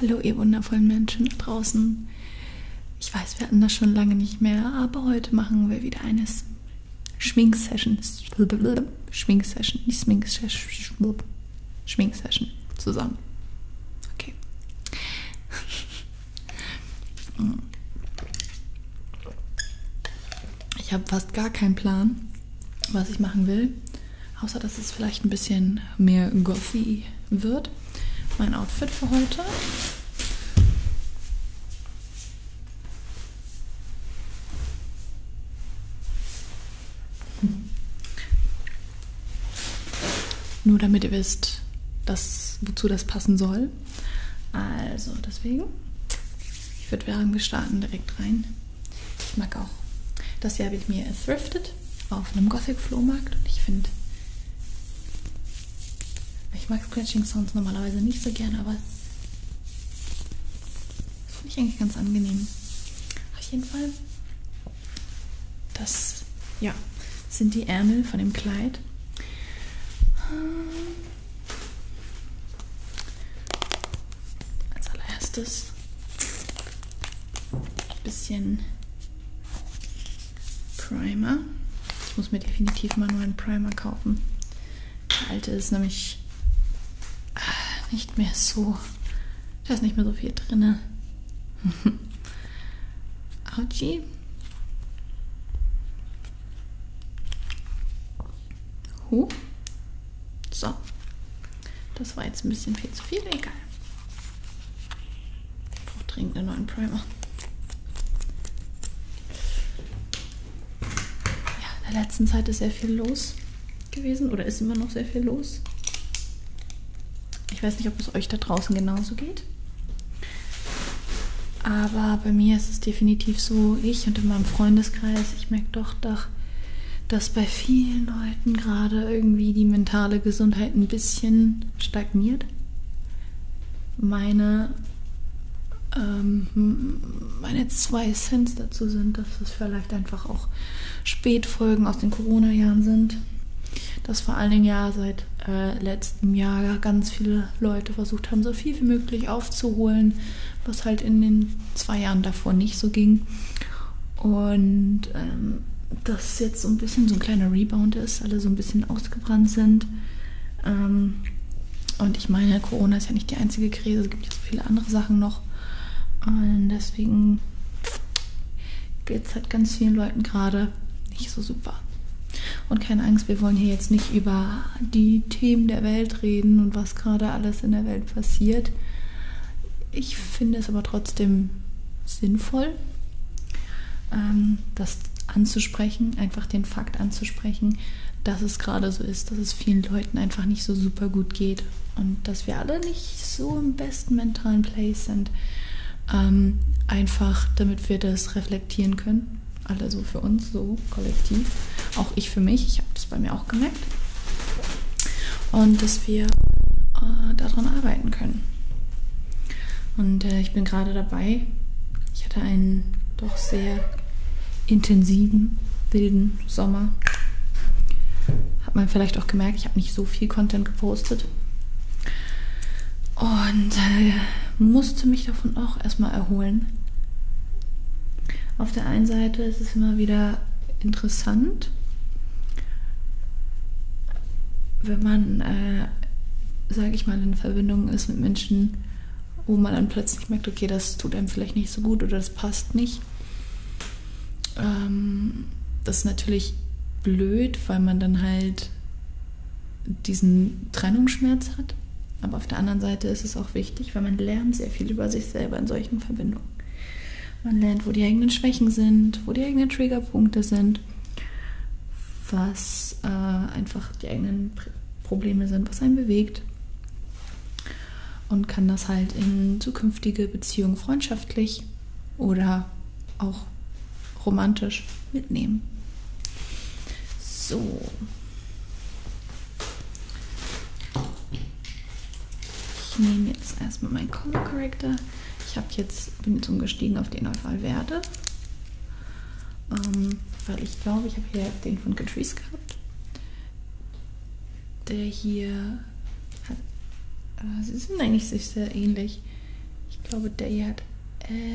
Hallo, ihr wundervollen Menschen da draußen. Ich weiß, wir hatten das schon lange nicht mehr, aber heute machen wir wieder eine Schmink-Session. Schmink-Session, nicht Schmink-Session. Schmink-Session zusammen. Okay. Ich habe fast gar keinen Plan, was ich machen will. Außer, dass es vielleicht ein bisschen mehr gothy wird. Mein Outfit für heute. Hm. Nur damit ihr wisst, das, wozu das passen soll. Also deswegen, ich würde sagen, wir starten direkt rein. Ich mag auch. Das hier habe ich mir thrifted auf einem Gothic-Flohmarkt und ich finde, ich mag Scratching-Sounds normalerweise nicht so gern, aber das finde ich eigentlich ganz angenehm. Auf jeden Fall, das ja, sind die Ärmel von dem Kleid. Hm. Als allererstes bisschen Primer. Ich muss mir definitiv mal nur einen Primer kaufen. Der alte ist nämlich äh, nicht mehr so. Da ist nicht mehr so viel drin. Autschi. Huh. So, das war jetzt ein bisschen viel zu viel, egal. Ich brauche dringend einen neuen Primer. Ja, in der letzten Zeit ist sehr viel los gewesen oder ist immer noch sehr viel los. Ich weiß nicht, ob es euch da draußen genauso geht. Aber bei mir ist es definitiv so, ich und in meinem Freundeskreis, ich merke doch, doch dass bei vielen Leuten gerade irgendwie die mentale Gesundheit ein bisschen stagniert. Meine, ähm, meine zwei Cents dazu sind, dass es vielleicht einfach auch Spätfolgen aus den Corona-Jahren sind. Dass vor allen Dingen ja seit äh, letztem Jahr ganz viele Leute versucht haben, so viel wie möglich aufzuholen, was halt in den zwei Jahren davor nicht so ging. Und ähm, dass jetzt so ein bisschen so ein kleiner Rebound ist, alle so ein bisschen ausgebrannt sind. Ähm, und ich meine, Corona ist ja nicht die einzige Krise, es gibt ja so viele andere Sachen noch. Und deswegen geht es halt ganz vielen Leuten gerade nicht so super. Und keine Angst, wir wollen hier jetzt nicht über die Themen der Welt reden und was gerade alles in der Welt passiert. Ich finde es aber trotzdem sinnvoll, ähm, das anzusprechen, einfach den Fakt anzusprechen, dass es gerade so ist, dass es vielen Leuten einfach nicht so super gut geht und dass wir alle nicht so im besten mentalen Place sind. Ähm, einfach, damit wir das reflektieren können. Alle so für uns, so kollektiv. Auch ich für mich. Ich habe das bei mir auch gemerkt merkt und dass wir äh, daran arbeiten können. Und äh, ich bin gerade dabei. Ich hatte einen doch sehr intensiven, wilden Sommer. Hat man vielleicht auch gemerkt, ich habe nicht so viel Content gepostet. Und äh, musste mich davon auch erstmal erholen. Auf der einen Seite ist es immer wieder interessant, wenn man, äh, sage ich mal, in Verbindung ist mit Menschen, wo man dann plötzlich merkt, okay, das tut einem vielleicht nicht so gut oder das passt nicht. Ähm, das ist natürlich blöd, weil man dann halt diesen Trennungsschmerz hat. Aber auf der anderen Seite ist es auch wichtig, weil man lernt sehr viel über sich selber in solchen Verbindungen. Man lernt, wo die eigenen Schwächen sind, wo die eigenen Triggerpunkte sind, was äh, einfach die eigenen Probleme sind, was einen bewegt. Und kann das halt in zukünftige Beziehungen freundschaftlich oder auch romantisch mitnehmen. So. Ich nehme jetzt erstmal meinen Color Corrector. Ich habe jetzt, bin jetzt umgestiegen auf den Neufall Werde. Ähm, weil ich glaube, ich habe hier den von Catrice gehabt. Der hier hat, äh, sie sind eigentlich sich sehr ähnlich. Ich glaube, der hier hat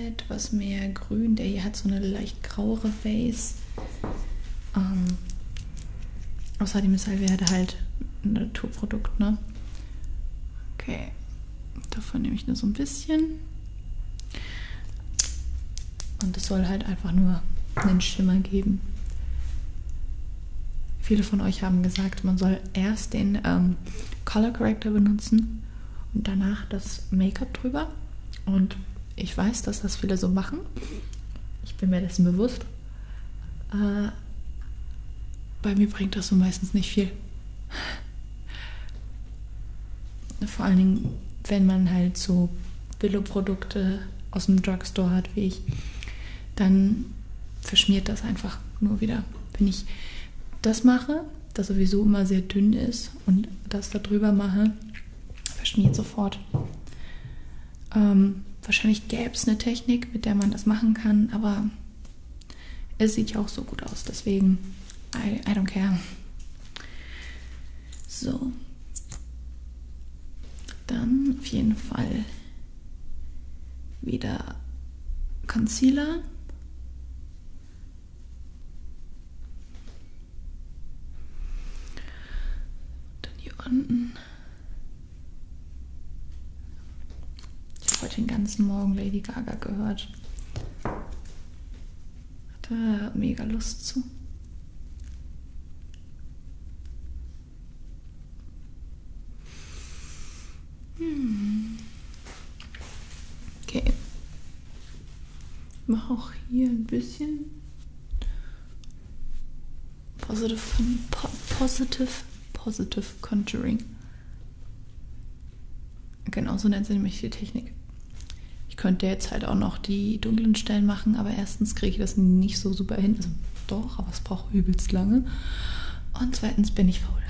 etwas mehr grün. Der hier hat so eine leicht grauere Base. Ähm, Außerdem ist Alverde halt ein Naturprodukt, ne? Okay. Davon nehme ich nur so ein bisschen. Und es soll halt einfach nur einen Schimmer geben. Viele von euch haben gesagt, man soll erst den ähm, Color Corrector benutzen und danach das Make-up drüber. Und ich weiß, dass das viele so machen. Ich bin mir dessen bewusst. Äh, bei mir bringt das so meistens nicht viel. Vor allen Dingen, wenn man halt so Billo-Produkte aus dem Drugstore hat wie ich, dann verschmiert das einfach nur wieder. Wenn ich das mache, das sowieso immer sehr dünn ist und das da drüber mache, verschmiert sofort. Ähm, wahrscheinlich gäbe es eine Technik, mit der man das machen kann, aber es sieht ja auch so gut aus, deswegen I, I don't care. So. Dann auf jeden Fall wieder Concealer. Dann hier unten ich habe heute den ganzen Morgen Lady Gaga gehört. Hatte mega Lust zu. Hm. Okay. Mach auch hier ein bisschen. Positive, po positive, positive Conjuring. Genau, so nennt sie nämlich die Technik. Ich könnte jetzt halt auch noch die dunklen Stellen machen, aber erstens kriege ich das nicht so super hin. Also doch, aber es braucht übelst lange. Und zweitens bin ich faul.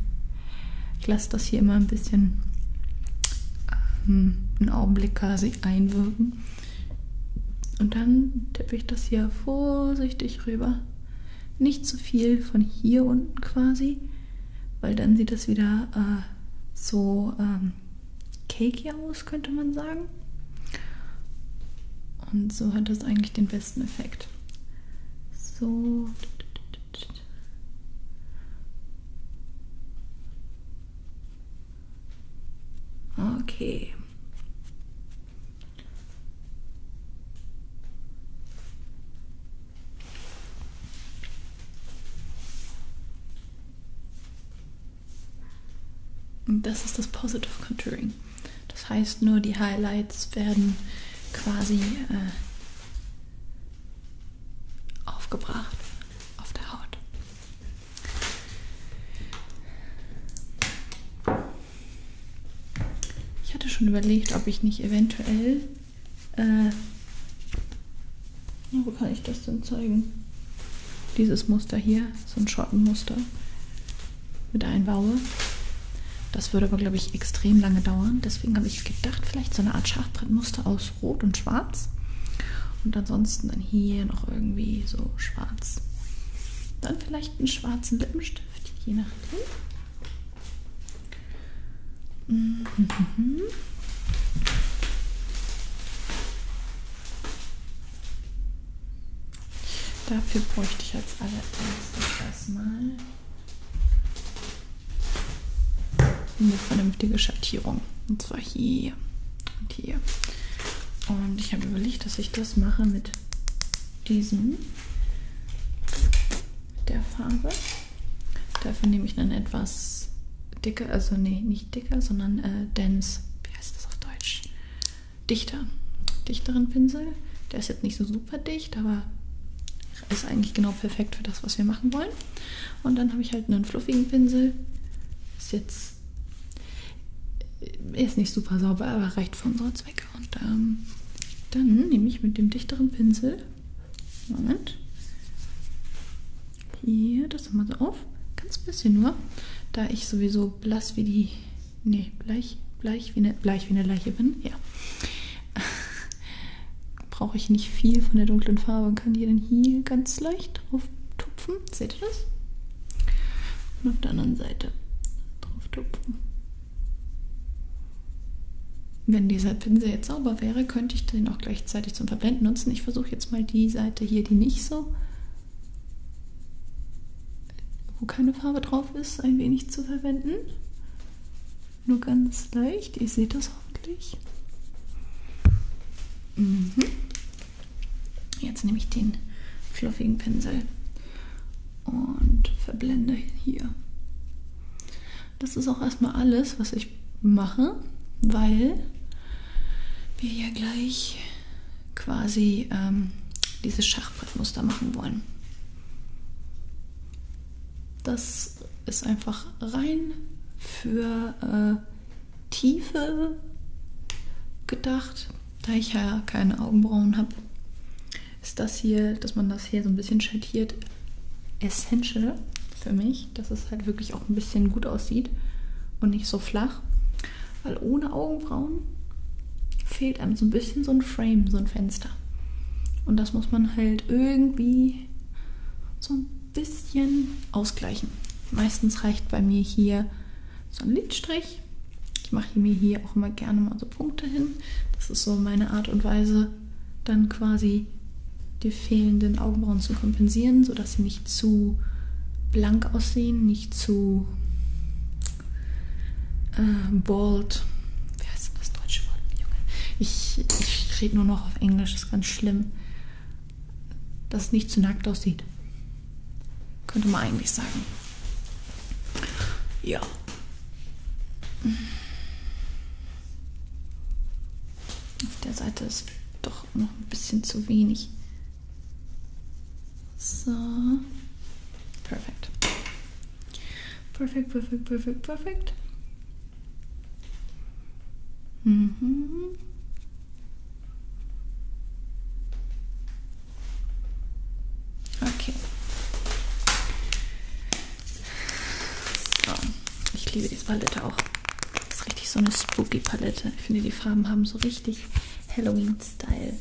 ich lasse das hier immer ein bisschen ähm, einen Augenblick quasi einwirken. Und dann tippe ich das hier vorsichtig rüber. Nicht zu viel von hier unten quasi, weil dann sieht das wieder äh, so ähm, cakey aus, könnte man sagen. Und so hat das eigentlich den besten Effekt. So. Okay. Und das ist das Positive Contouring. Das heißt, nur die Highlights werden quasi äh, aufgebracht auf der Haut. Ich hatte schon überlegt, ob ich nicht eventuell. Äh, wo kann ich das denn zeigen? Dieses Muster hier, so ein Schottenmuster mit einbaue. Das würde aber, glaube ich, extrem lange dauern. Deswegen habe ich gedacht, vielleicht so eine Art Schachbrettmuster aus Rot und Schwarz. Und ansonsten dann hier noch irgendwie so schwarz. Dann vielleicht leichten schwarzen Lippenstift, je nachdem. Mhm. Dafür bräuchte ich als allererstes erstmal eine vernünftige Schattierung. Und zwar hier und hier. Und ich habe überlegt, dass ich das mache mit diesem der Farbe. Dafür nehme ich dann etwas dicker, also nee, nicht dicker, sondern äh, dense, wie heißt das auf Deutsch? Dichter, dichteren Pinsel. Der ist jetzt nicht so super dicht, aber ist eigentlich genau perfekt für das, was wir machen wollen. Und dann habe ich halt einen fluffigen Pinsel. Ist jetzt äh, ist nicht super sauber, aber reicht für unseren Zweck. Sticker und ähm, dann nehme ich mit dem dichteren Pinsel, Moment, hier das nochmal so auf, ganz bisschen nur, da ich sowieso blass wie die, nee, bleich, bleich wie eine, bleich wie eine Leiche bin, ja, brauche ich nicht viel von der dunklen Farbe und kann die dann hier ganz leicht drauf tupfen, seht ihr das? Und auf der anderen Seite drauf tupfen. Wenn dieser Pinsel jetzt sauber wäre, könnte ich den auch gleichzeitig zum Verblenden nutzen. Ich versuche jetzt mal die Seite hier, die nicht so, wo keine Farbe drauf ist, ein wenig zu verwenden. Nur ganz leicht. Ihr seht das hoffentlich. Mhm. Jetzt nehme ich den fluffigen Pinsel und verblende hier. Das ist auch erstmal alles, was ich mache, weil wir ja gleich quasi ähm, dieses Schachbrettmuster machen wollen. Das ist einfach rein für äh, Tiefe gedacht, da ich ja keine Augenbrauen habe, ist das hier, dass man das hier so ein bisschen schattiert, essential für mich, dass es halt wirklich auch ein bisschen gut aussieht und nicht so flach. Weil ohne Augenbrauen fehlt einem so ein bisschen so ein Frame, so ein Fenster. Und das muss man halt irgendwie so ein bisschen ausgleichen. Meistens reicht bei mir hier so ein Lidstrich. Ich mache mir hier auch immer gerne mal so Punkte hin. Das ist so meine Art und Weise, dann quasi die fehlenden Augenbrauen zu kompensieren, sodass sie nicht zu blank aussehen, nicht zu äh, bald. Wie heißt denn das deutsche Wort, Junge? Ich, ich rede nur noch auf Englisch, ist ganz schlimm. Dass es nicht zu nackt aussieht. Könnte man eigentlich sagen. Ja. Auf der Seite ist doch noch ein bisschen zu wenig. So. Perfekt. Perfekt, perfekt, perfekt, perfekt. Mhm. Okay. So. Ich liebe diese Palette auch. Das ist richtig so eine spooky Palette. Ich finde, die Farben haben so richtig Halloween-Style.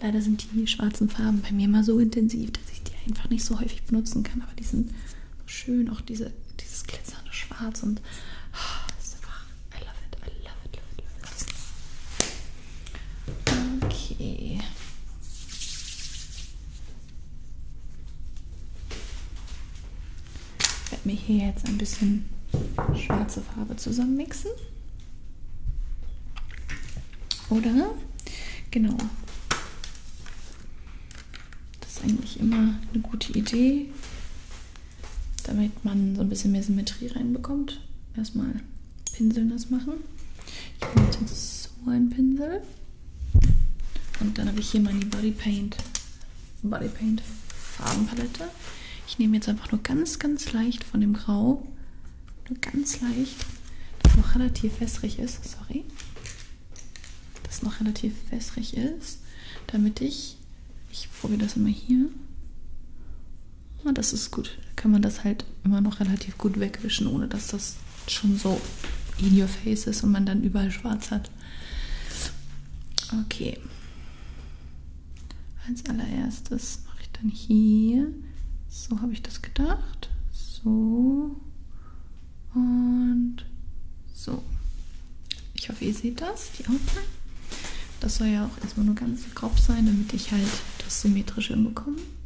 Leider sind die schwarzen Farben bei mir immer so intensiv, dass ich die einfach nicht so häufig benutzen kann. Aber die sind so schön. Auch diese, dieses glitzernde Schwarz und. Oh, das ist einfach. I love it. I love it. Love it, love it. Okay. Ich werde mir hier jetzt ein bisschen schwarze Farbe zusammenmixen. Oder? Genau. Das ist eigentlich immer eine gute Idee, damit man so ein bisschen mehr Symmetrie reinbekommt. Erstmal Pinsel nass machen. Ich nehme jetzt so einen Pinsel. Und dann habe ich hier meine Body Paint, Body Paint Farbenpalette. Ich nehme jetzt einfach nur ganz, ganz leicht von dem Grau. Nur ganz leicht, das noch relativ wässrig ist. Sorry. Das noch relativ wässrig ist, damit ich, ich probiere das immer hier ja, das ist gut. Da kann man das halt immer noch relativ gut wegwischen, ohne dass das schon so in your face ist und man dann überall schwarz hat. Okay. Als allererstes mache ich dann hier. So habe ich das gedacht. So. Und so. Ich hoffe, ihr seht das, die Outline. Das soll ja auch erstmal nur ganz grob sein, damit ich halt das symmetrisch hinbekomme.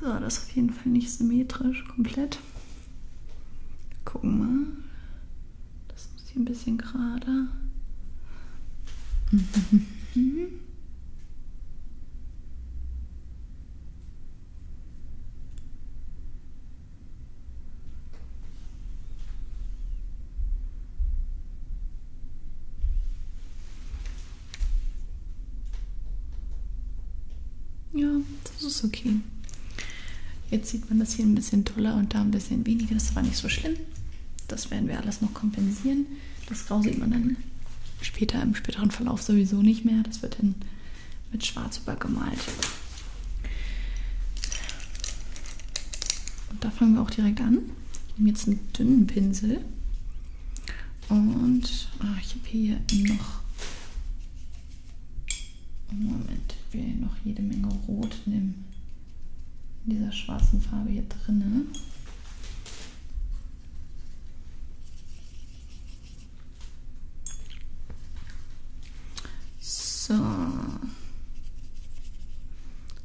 So, das ist auf jeden Fall nicht symmetrisch komplett. Gucken mal. Das muss hier ein bisschen gerader. Ja, das ist okay. Jetzt sieht man das hier ein bisschen toller und da ein bisschen weniger. Das war nicht so schlimm. Das werden wir alles noch kompensieren. Das Grau sieht man dann später im späteren Verlauf sowieso nicht mehr. Das wird dann mit Schwarz übergemalt. Und da fangen wir auch direkt an. Ich nehme jetzt einen dünnen Pinsel. Und ah, ich habe hier noch. Moment, ich will noch jede Menge Rot nehmen. In dieser schwarzen Farbe hier drinne. So.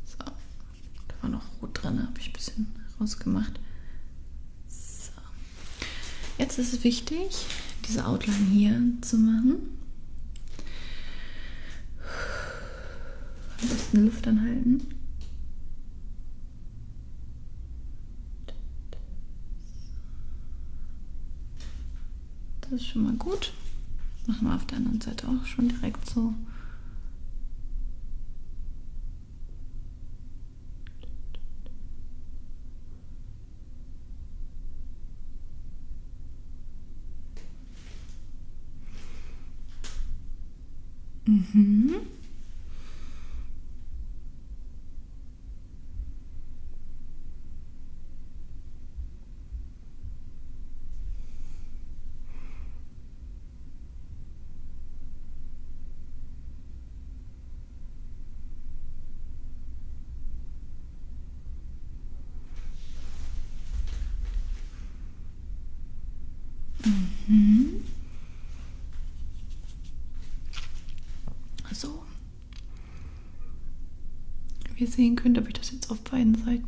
So, da war noch rot dran, habe ich ein bisschen rausgemacht. So. Jetzt ist es wichtig, diese Outline hier zu machen. Am besten Luft anhalten. Das ist schon mal gut. Machen wir auf der anderen Seite auch schon direkt so. Mhm. Mhm. So. Wie ihr sehen könnt, habe ich das jetzt auf beiden Seiten.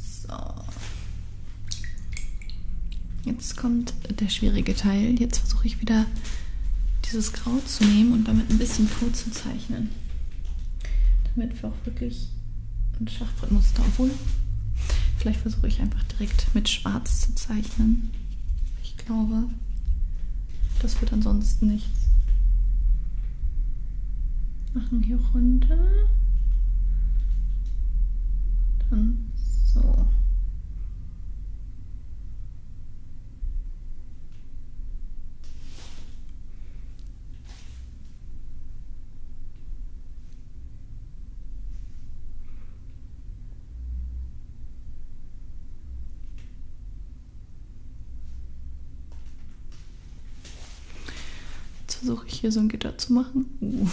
So. Jetzt kommt der schwierige Teil. Jetzt versuche ich wieder dieses Grau zu nehmen und damit ein bisschen vorzuzeichnen. Damit wir auch wirklich ein Schachbrettmuster, obwohl vielleicht versuche ich einfach direkt mit Schwarz zu zeichnen. Ich glaube, das wird ansonsten nichts. Machen hier runter. Dann so. Jetzt versuche ich hier so ein Gitter zu machen. Uh.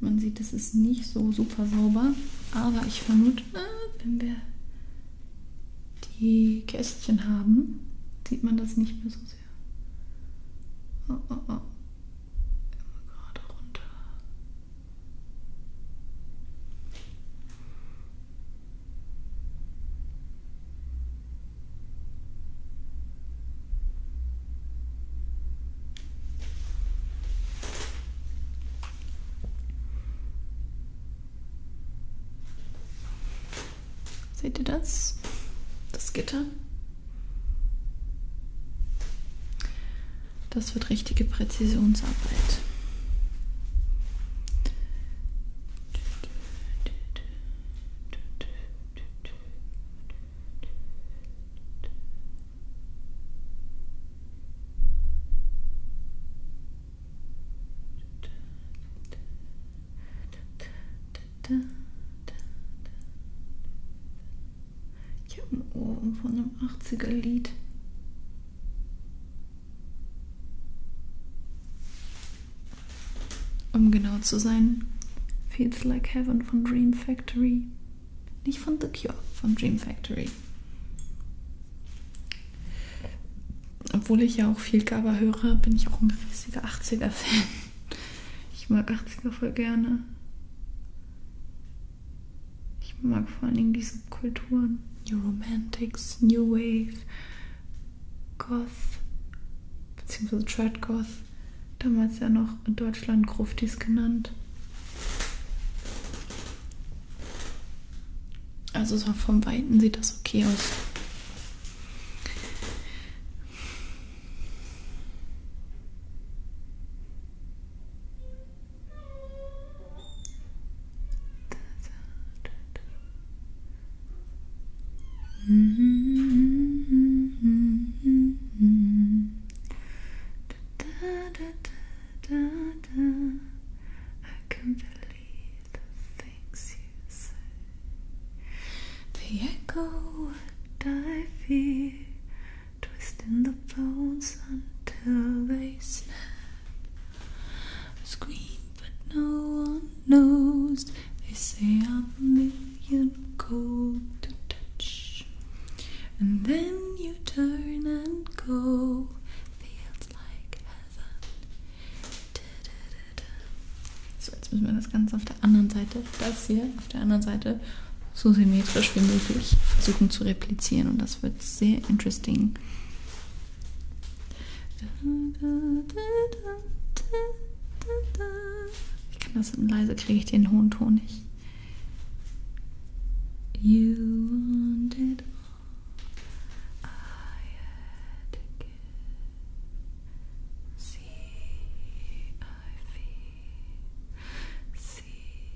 Man sieht, es ist nicht so super sauber, aber ich vermute, wenn wir die Kästchen haben, sieht man das nicht mehr so sehr. Oh, oh, oh. Immer gerade runter. Seht ihr das? Das Gitter? Das wird richtige Präzisionsarbeit. Ich habe ein Ohr von einem 80er-Lied. Um genau zu sein, Feels Like Heaven von Dream Factory. Nicht von The Cure, von Dream Factory. Obwohl ich ja auch viel Gabba höre, bin ich auch ein riesiger 80er-Fan. Ich mag 80er voll gerne. Ich mag vor allen Dingen die Subkulturen. New Romantics, New Wave, Goth, beziehungsweise Tradgoth, damals ja noch in Deutschland Gruftis genannt. Also so vom Weiten sieht das okay aus. Mm-hmm. I can believe the things you say. The echo I fear, twisting the bones until they snap. scream, but no one nose. They say I'm a million cold to touch. And then you turn and go. Feels like heaven. Da, da, da, so, jetzt müssen wir das Ganze auf der anderen Seite, das hier auf der anderen Seite, so symmetrisch wie möglich versuchen zu replizieren. Und das wird sehr interesting. Da, da, da, da, da, da, da. Ich kann das leise, kriege ich den hohen Ton nicht. You want it all. I had to give. See, I feel. See,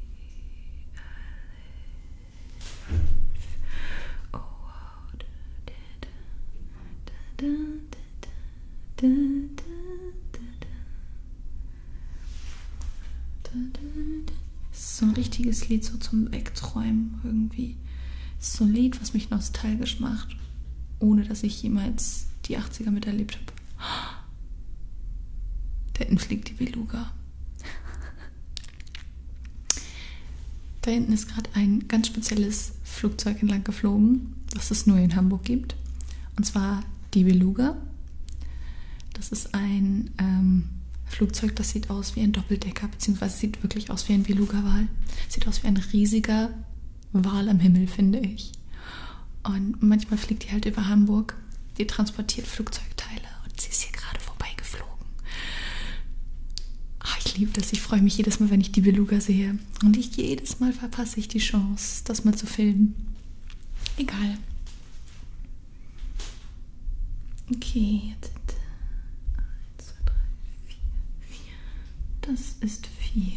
I live. Oh, how did da, da, da, da, da, da. Das ist so ein richtiges Lied so zum Wegträumen irgendwie. Das ist so ein Lied, was mich nostalgisch macht, ohne dass ich jemals die 80er miterlebt habe. Da hinten fliegt die Beluga. da hinten ist gerade ein ganz spezielles Flugzeug entlang geflogen, das es nur in Hamburg gibt. Und zwar die Beluga. Das ist ein ähm, Flugzeug, das sieht aus wie ein Doppeldecker, beziehungsweise sieht wirklich aus wie ein Beluga-Wal. Sieht aus wie ein riesiger Wal am Himmel, finde ich. Und manchmal fliegt die halt über Hamburg. Die transportiert Flugzeugteile und sie ist hier gerade vorbeigeflogen. Ach, ich liebe das. Ich freue mich jedes Mal, wenn ich die Beluga sehe. Folge. Und ich jedes Mal verpasse ich die Chance, das mal zu filmen. Egal. Okay, jetzt. 1, 2, 3, 4, 4. Das ist 4, okay.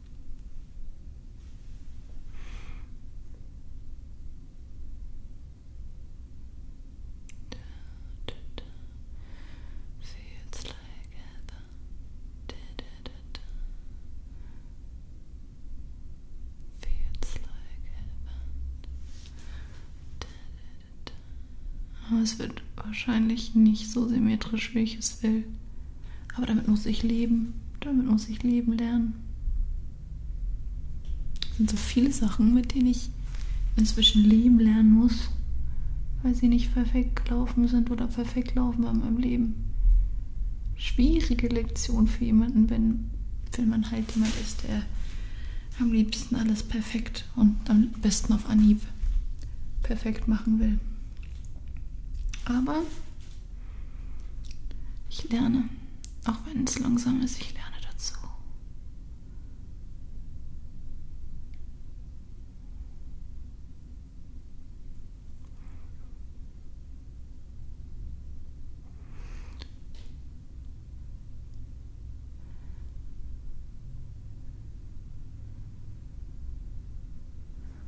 Feels like heaven. Da, da, da, da. Feels like heaven. Da, da, da, da. Aber es wird wahrscheinlich nicht so symmetrisch, wie ich es will. Aber damit muss ich leben. Damit muss ich leben lernen. Es sind so viele Sachen, mit denen ich inzwischen leben lernen muss, weil sie nicht perfekt gelaufen sind oder perfekt laufen bei meinem Leben. Schwierige Lektion für jemanden, wenn, wenn man halt jemand ist, der am liebsten alles perfekt und am besten auf Anhieb perfekt machen will. Aber ich lerne, auch wenn es langsam ist, ich lerne dazu.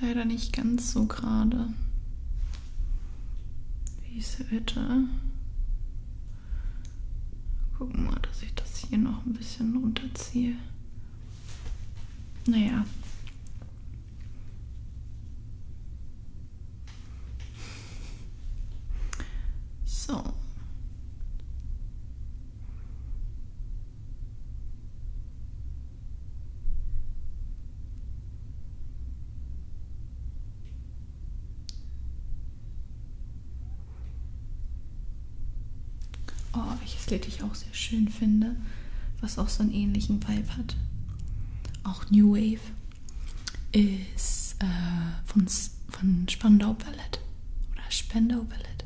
leider nicht ganz so gerade, wie ich es hätte. Gucken mal, dass ich das hier noch ein bisschen runterziehe. Naja. So. Oh, welches Lied ich auch sehr schön finde, was auch so einen ähnlichen Vibe hat. Auch New Wave ist äh, von, von Spandau Ballett oder Spandau Ballett.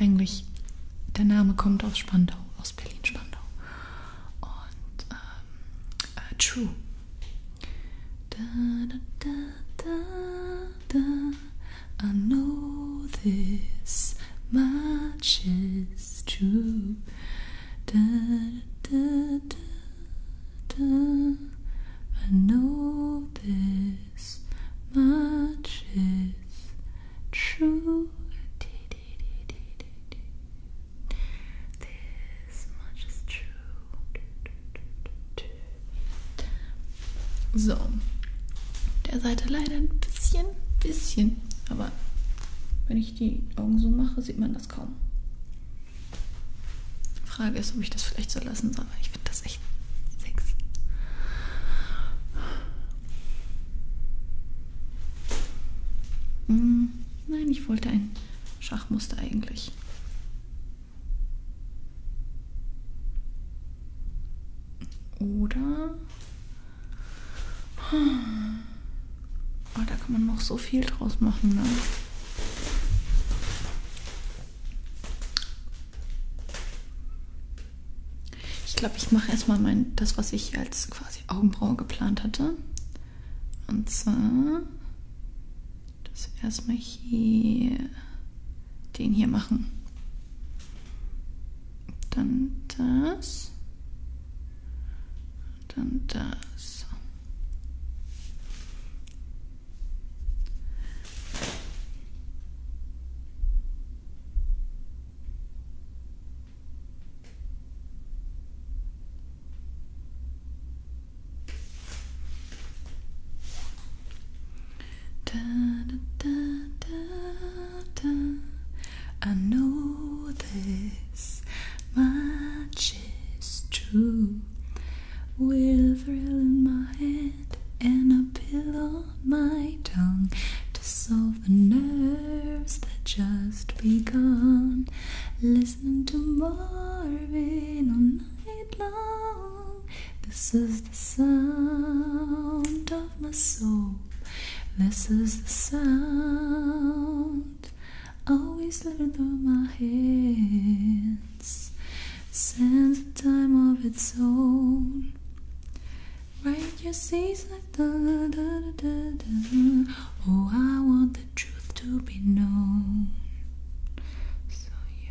Eigentlich der Name kommt aus Spandau, aus Berlin-Spandau. Und äh, true. I know this much true. I know this much is true. This much is true. So. Der Seite leider ein bisschen, bisschen, aber wenn ich die Augen so mache, sieht man das kaum. Frage ist, ob ich das vielleicht so lassen soll, weil ich finde das echt sexy. Mm. Nein, ich wollte ein Schachmuster eigentlich. Oder... Oh, da kann man noch so viel draus machen, ne? Ich glaube, ich mache erstmal mein, das, was ich als quasi Augenbraue geplant hatte. Und zwar das erstmal hier den hier machen. Dann das. Dann das. Da, da, da, da, da. I know this much is true. With a thrill in my head and a pill on my tongue to solve the nerves that just begun. Listen Listen to Marvin all night long. This is the sound of my soul. This is the sound always living through my hands. Since the time of its own. Right your seas like da da Oh, I want truth to be known. So, yeah.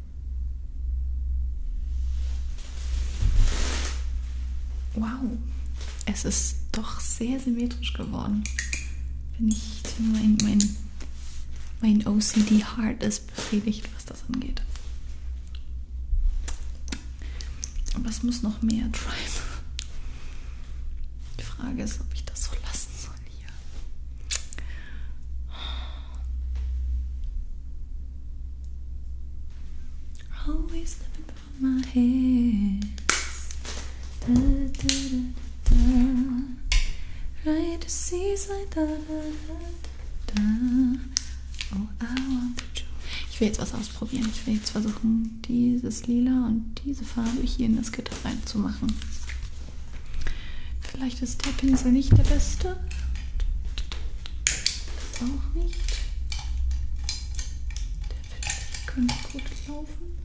Wow, es ist doch sehr symmetrisch geworden. Wenn ich mein, mein, mein OCD-Heart ist befriedigt, was das angeht. Aber es muss noch mehr treiben. Die Frage ist, ob ich das so lassen soll hier. Always slipping through my hands. Da, da, da, da. Right to seize like da, da, da, da. Oh, I want to ich will jetzt was ausprobieren. Ich will jetzt versuchen, dieses Lila und diese Farbe hier in das Gitter reinzumachen. Vielleicht ist der Pinsel nicht der beste. Das auch nicht. Der Pinsel könnte gut laufen.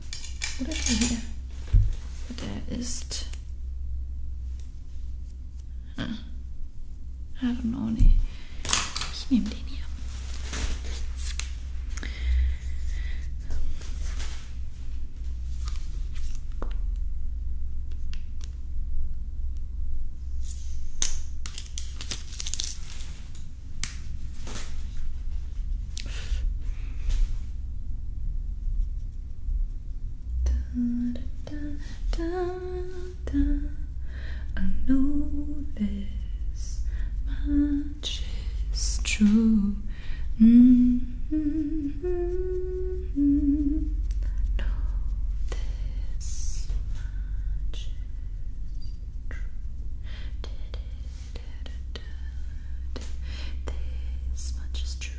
Oder hier. Der ist. Ah. I don't know, nee. Ich nehme den hier. Da, da, da, I know this much is true. Mm -hmm. Mm -hmm. much is true. This much is true.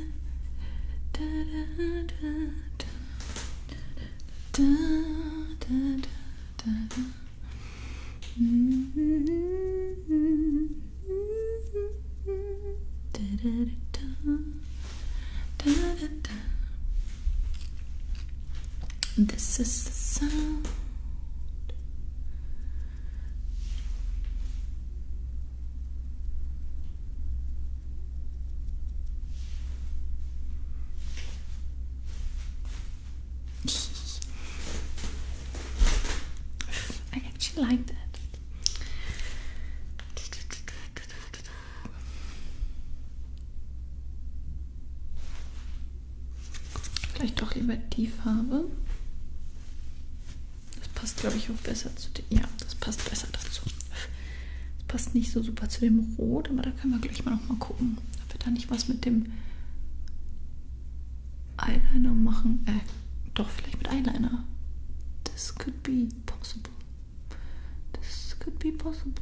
da da da da da da da da da this is the sound I actually like that. Vielleicht doch lieber die Farbe. Das passt, glaube ich, auch besser zu dem. Ja, das passt besser dazu. Das passt nicht so super zu dem Rot, aber da können wir gleich mal nochmal gucken, ob wir da nicht was mit dem Eyeliner machen. Äh, doch, vielleicht mit Eyeliner. This could be possible. This could be possible.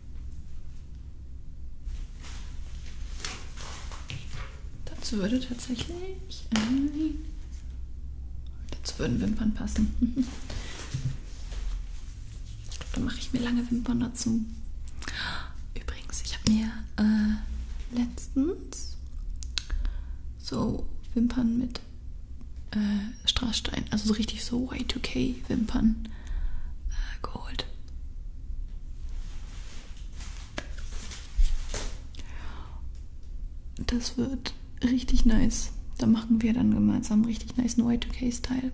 Dazu würde tatsächlich ein. Ähm, dazu würden Wimpern passen. ich glaube, da mache ich mir lange Wimpern dazu. Übrigens, ich habe mir äh, letztens so Wimpern mit äh, Straßstein, also so richtig so Y2K-Wimpern äh, geholt. Das wird richtig nice. Da machen wir dann gemeinsam richtig nice No Y2K-Style.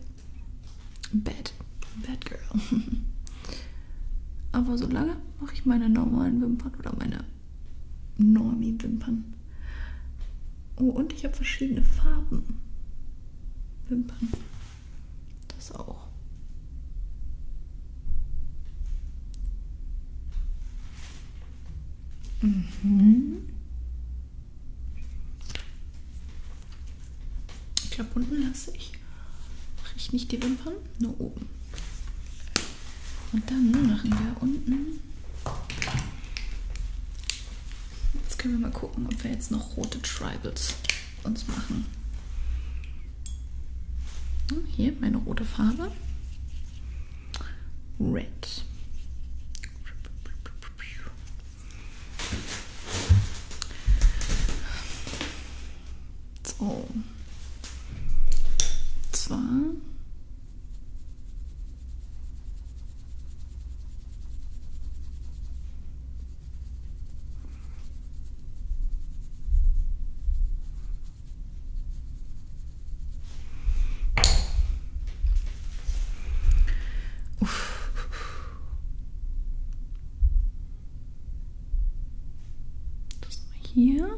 Bad. Bad Girl. Aber solange mache ich meine normalen Wimpern oder meine Normie-Wimpern. Oh, und ich habe verschiedene Farben. Wimpern. Das auch. Mhm. Ich glaube, unten lasse ich. Mache ich nicht die Wimpern, nur oben. Und dann machen wir unten. Jetzt können wir mal gucken, ob wir jetzt noch rote Tribals uns machen. Hm, hier meine rote Farbe. Red. So. Zwar. Das mal hier.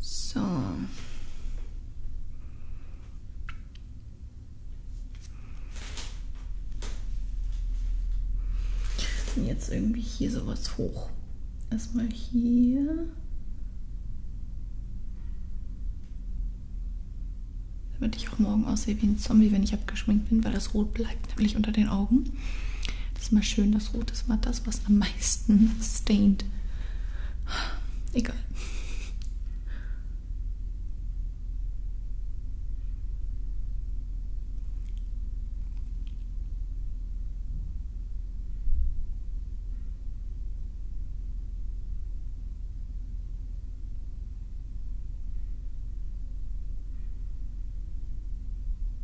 So. Und jetzt irgendwie hier sowas hoch. Erstmal hier. Damit ich auch morgen aussehe wie ein Zombie, wenn ich abgeschminkt bin, weil das Rot bleibt nämlich unter den Augen. Das ist mal schön, das Rot ist mal das, was am meisten stained. Egal.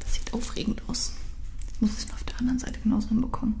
Das sieht aufregend aus. Ich muss es auf der anderen Seite genauso hinbekommen.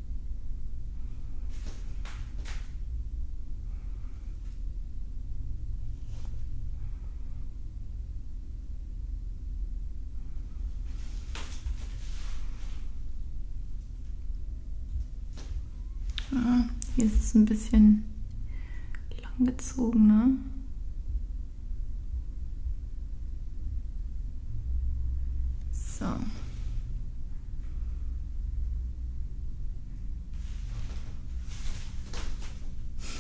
Ah, hier ist es ein bisschen langgezogen, ne? So.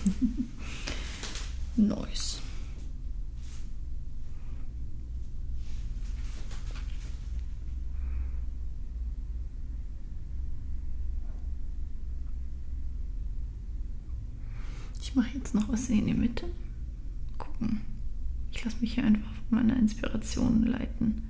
nice. Ich mache jetzt noch was in die Mitte. Gucken. Ich lasse mich hier einfach von meiner Inspiration leiten.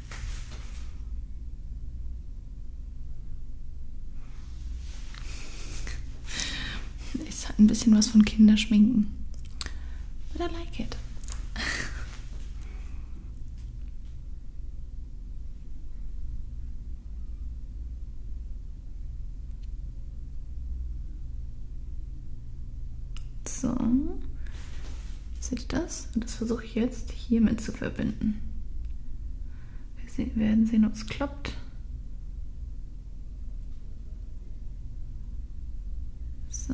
Es hat ein bisschen was von Kinderschminken. But I like it. So, Seht ihr das? Und das versuche ich jetzt hiermit zu verbinden. Wir werden sehen, ob es klappt. So.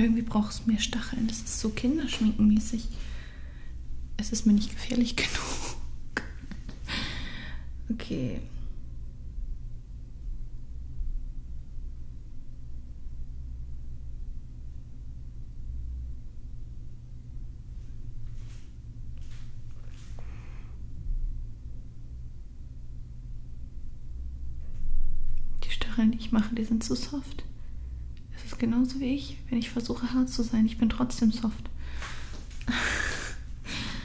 Irgendwie braucht es mehr Stacheln. Das ist so kinderschminkenmäßig. Es ist mir nicht gefährlich genug okay. Die Stacheln, die ich mache, die sind zu soft. Es ist genauso wie ich, wenn ich versuche hart zu sein. Ich bin trotzdem soft.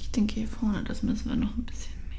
Ich denke hier vorne, das müssen wir noch ein bisschen mehr.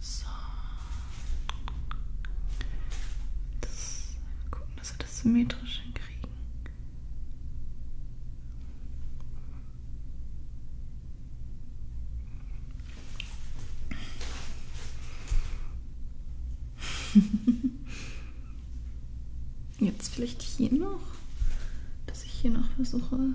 So. Das, gucken, dass wir das symmetrisch hinkriegen. Jetzt vielleicht hier noch, dass ich hier noch versuche.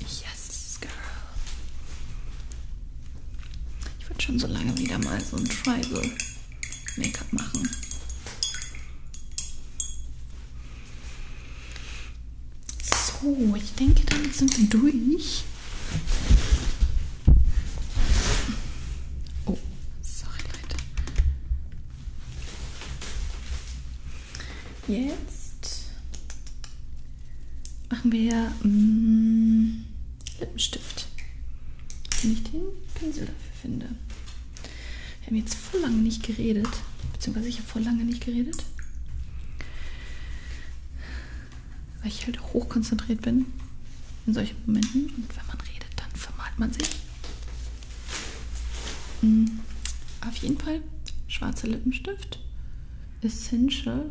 Yes, girl. Ich würde schon so lange wieder mal so ein Tribal Make-up machen. So, ich denke, damit sind wir durch. Oh, sorry, Leute. Jetzt machen wir mm, Lippenstift. Wenn ich den Pinsel dafür finde. Wir haben jetzt vor lange nicht geredet. Beziehungsweise ich habe vor lange nicht geredet. Weil ich halt auch hochkonzentriert bin in solchen Momenten. Und wenn man redet, dann vermalt man sich. Mhm. Auf jeden Fall schwarzer Lippenstift. Essential.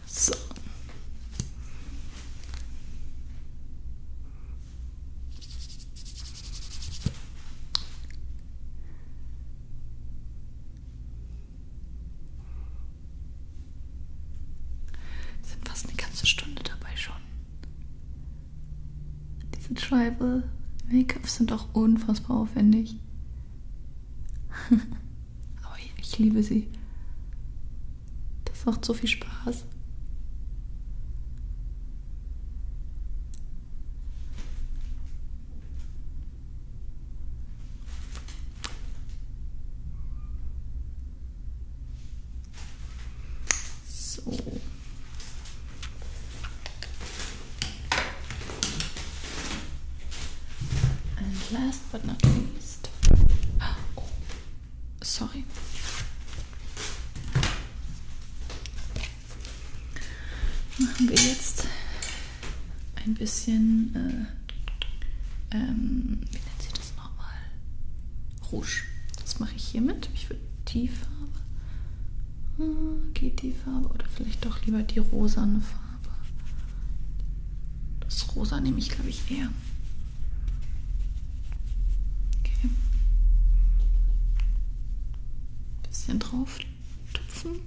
So. Wir sind fast eine ganze Stunde dabei schon. Diese Tribal Make-ups sind auch unfassbar aufwendig. Aber ich, ich liebe sie. Das macht so viel Spaß. So. And last but not least ist. Oh, sorry. Machen wir jetzt ein bisschen, äh, ähm, wie nennt sich das nochmal? Rouge. Das mache ich hiermit. Ich würde die Farbe, äh, geht die Farbe oder vielleicht doch lieber die rosane Farbe. Farbe. Das Rosa nehme ich, glaube ich, eher. Okay. Bisschen drauf tupfen.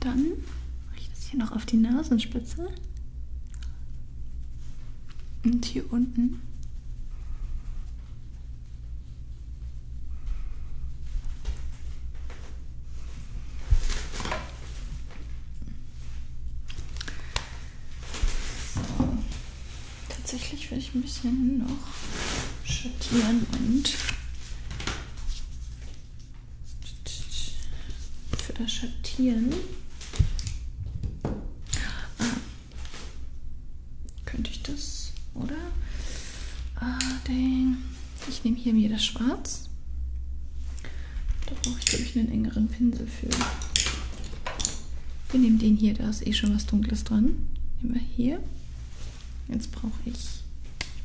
Dann mache ich das hier noch auf die Nasenspitze. Und hier unten so. Tatsächlich werde ich ein bisschen noch schattieren und für das Schattieren ah, könnte ich das, oder? Ah, dang. Ich nehme hier mir das Schwarz. Da brauche ich, glaube ich, einen engeren Pinsel für. Wir nehmen den hier, da ist eh schon was Dunkles dran. Nehmen wir hier. Jetzt brauche ich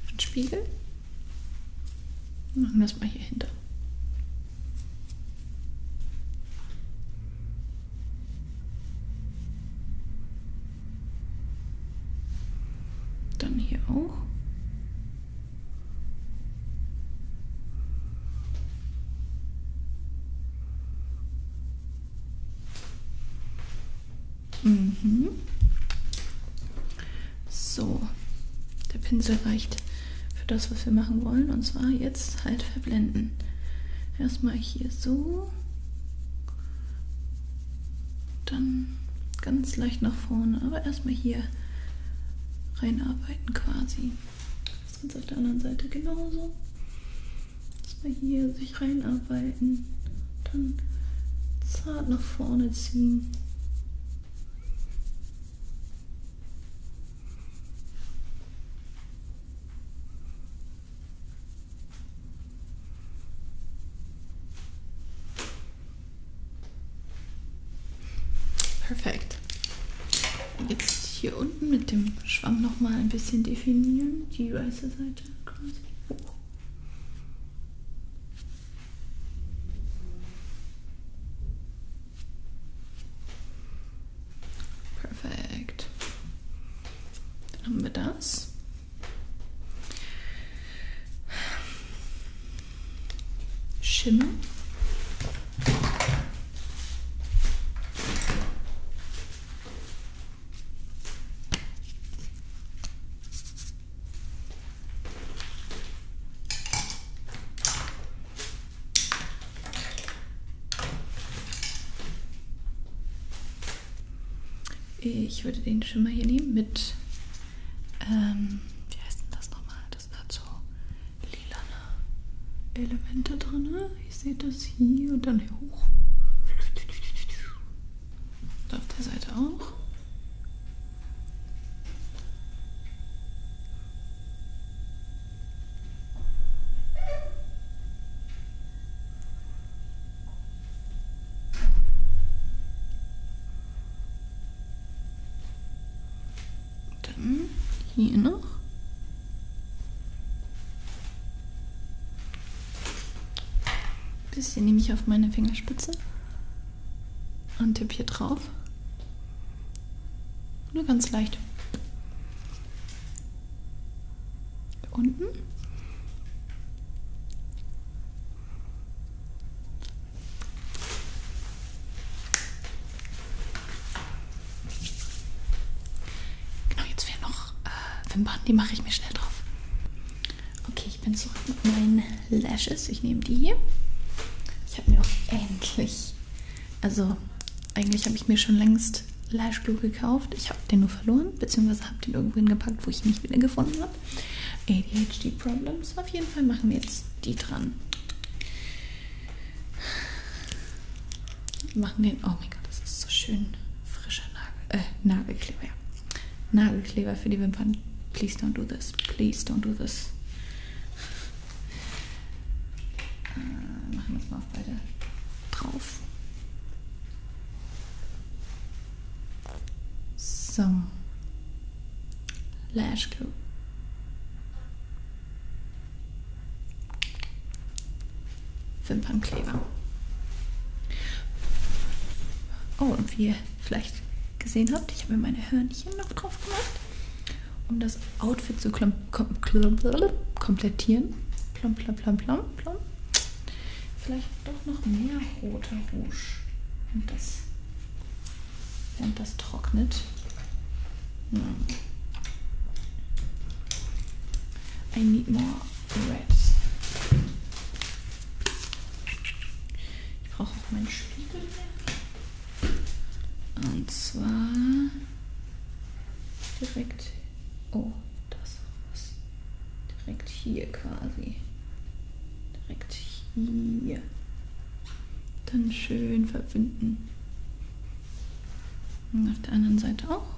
einen Spiegel. Machen wir es mal hier hinter. Dann hier auch. Mhm. So, der Pinsel reicht für das, was wir machen wollen, und zwar jetzt halt verblenden. Erstmal hier so. Dann ganz leicht nach vorne, aber erstmal hier reinarbeiten quasi. Das Ganze auf der anderen Seite genauso. Erstmal hier sich reinarbeiten, dann zart nach vorne ziehen. Perfekt. Jetzt hier unten mit dem Schwamm nochmal ein bisschen definieren, die weiße Seite quasi. Perfekt. Dann haben wir das. Schimmel. Ich würde den Schimmer hier nehmen mit, ähm, wie heißt denn das nochmal? Das hat so lilane Elemente drin. Ne? Ich sehe das hier und dann hier hoch. Da auf der Seite auch. Dann hier noch. Ein bisschen nehme ich auf meine Fingerspitze und tippe hier drauf. Nur ganz leicht. Unten. Genau, jetzt fehlen noch äh, Wimpern, die mache ich mir schnell drauf. Okay, ich bin zurück mit meinen Lashes. Ich nehme die hier. Ich habe mir auch endlich, also eigentlich habe ich mir schon längst jetzt Leischblue gekauft. Ich habe den nur verloren, beziehungsweise habe den irgendwo hingepackt, wo ich ihn nicht wieder gefunden habe. ADHD Problems. Auf jeden Fall machen wir jetzt die dran. Machen den. Oh mein Gott, das ist so schön. Frischer Nagel, äh, Nagelkleber. Ja. Nagelkleber für die Wimpern. Please don't do this. Please don't do this. Äh, machen wir das mal mal beide drauf. So. Lash Glue. Wimpernkleber. Oh, und wie ihr vielleicht gesehen habt, ich habe mir meine Hörnchen noch drauf gemacht, um das Outfit zu kom kom kom komplettieren. Plom, plom, plom, plom, plom. Vielleicht doch noch mehr roter Rouge. Und das, während das trocknet. Hm. I need more red. Ich brauche auch meinen Spiegel mehr. Und zwar direkt Oh, das ist direkt hier quasi. Direkt hier. Dann schön verbinden. Und auf der anderen Seite auch.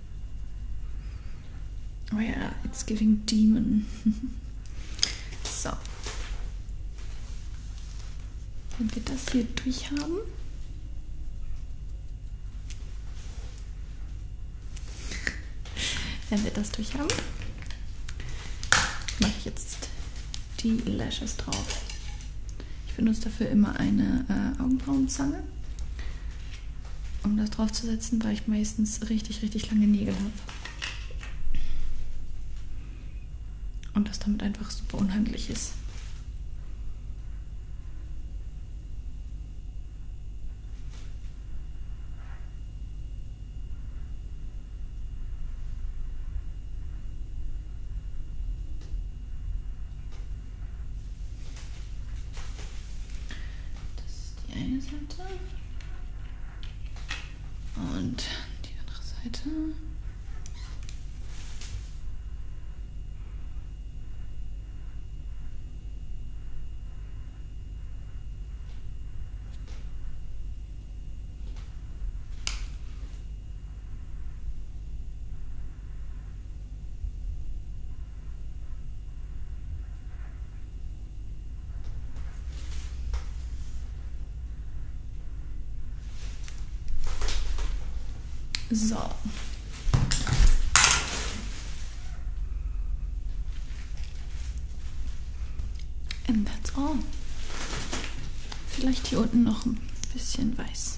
Oh yeah, it's giving demon. so. Wenn wir das hier durchhaben. Wenn wir das durchhaben, mache ich jetzt die Lashes drauf. Ich benutze dafür immer eine äh, Augenbrauenzange. Nägel, um das draufzusetzen, weil ich meistens richtig, richtig lange Nägel habe. Und das damit einfach super unhandlich ist. Das ist die eine Seite. Und die andere Seite. So. And that's all. Vielleicht hier unten noch ein bisschen weiß.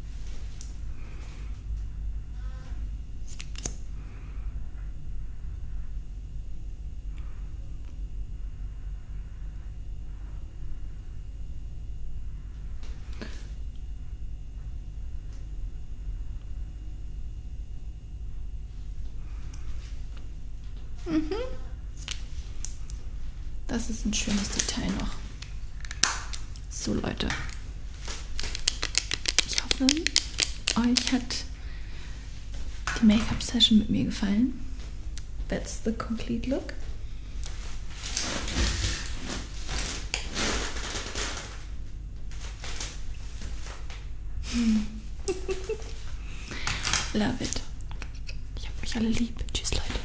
Mhm. Das ist ein schönes Detail noch. So Leute, ich hoffe, euch hat die Make-up-Session mit mir gefallen. That's the complete look. Hm. Love it. Ich hab euch alle lieb. Tschüss, Leute.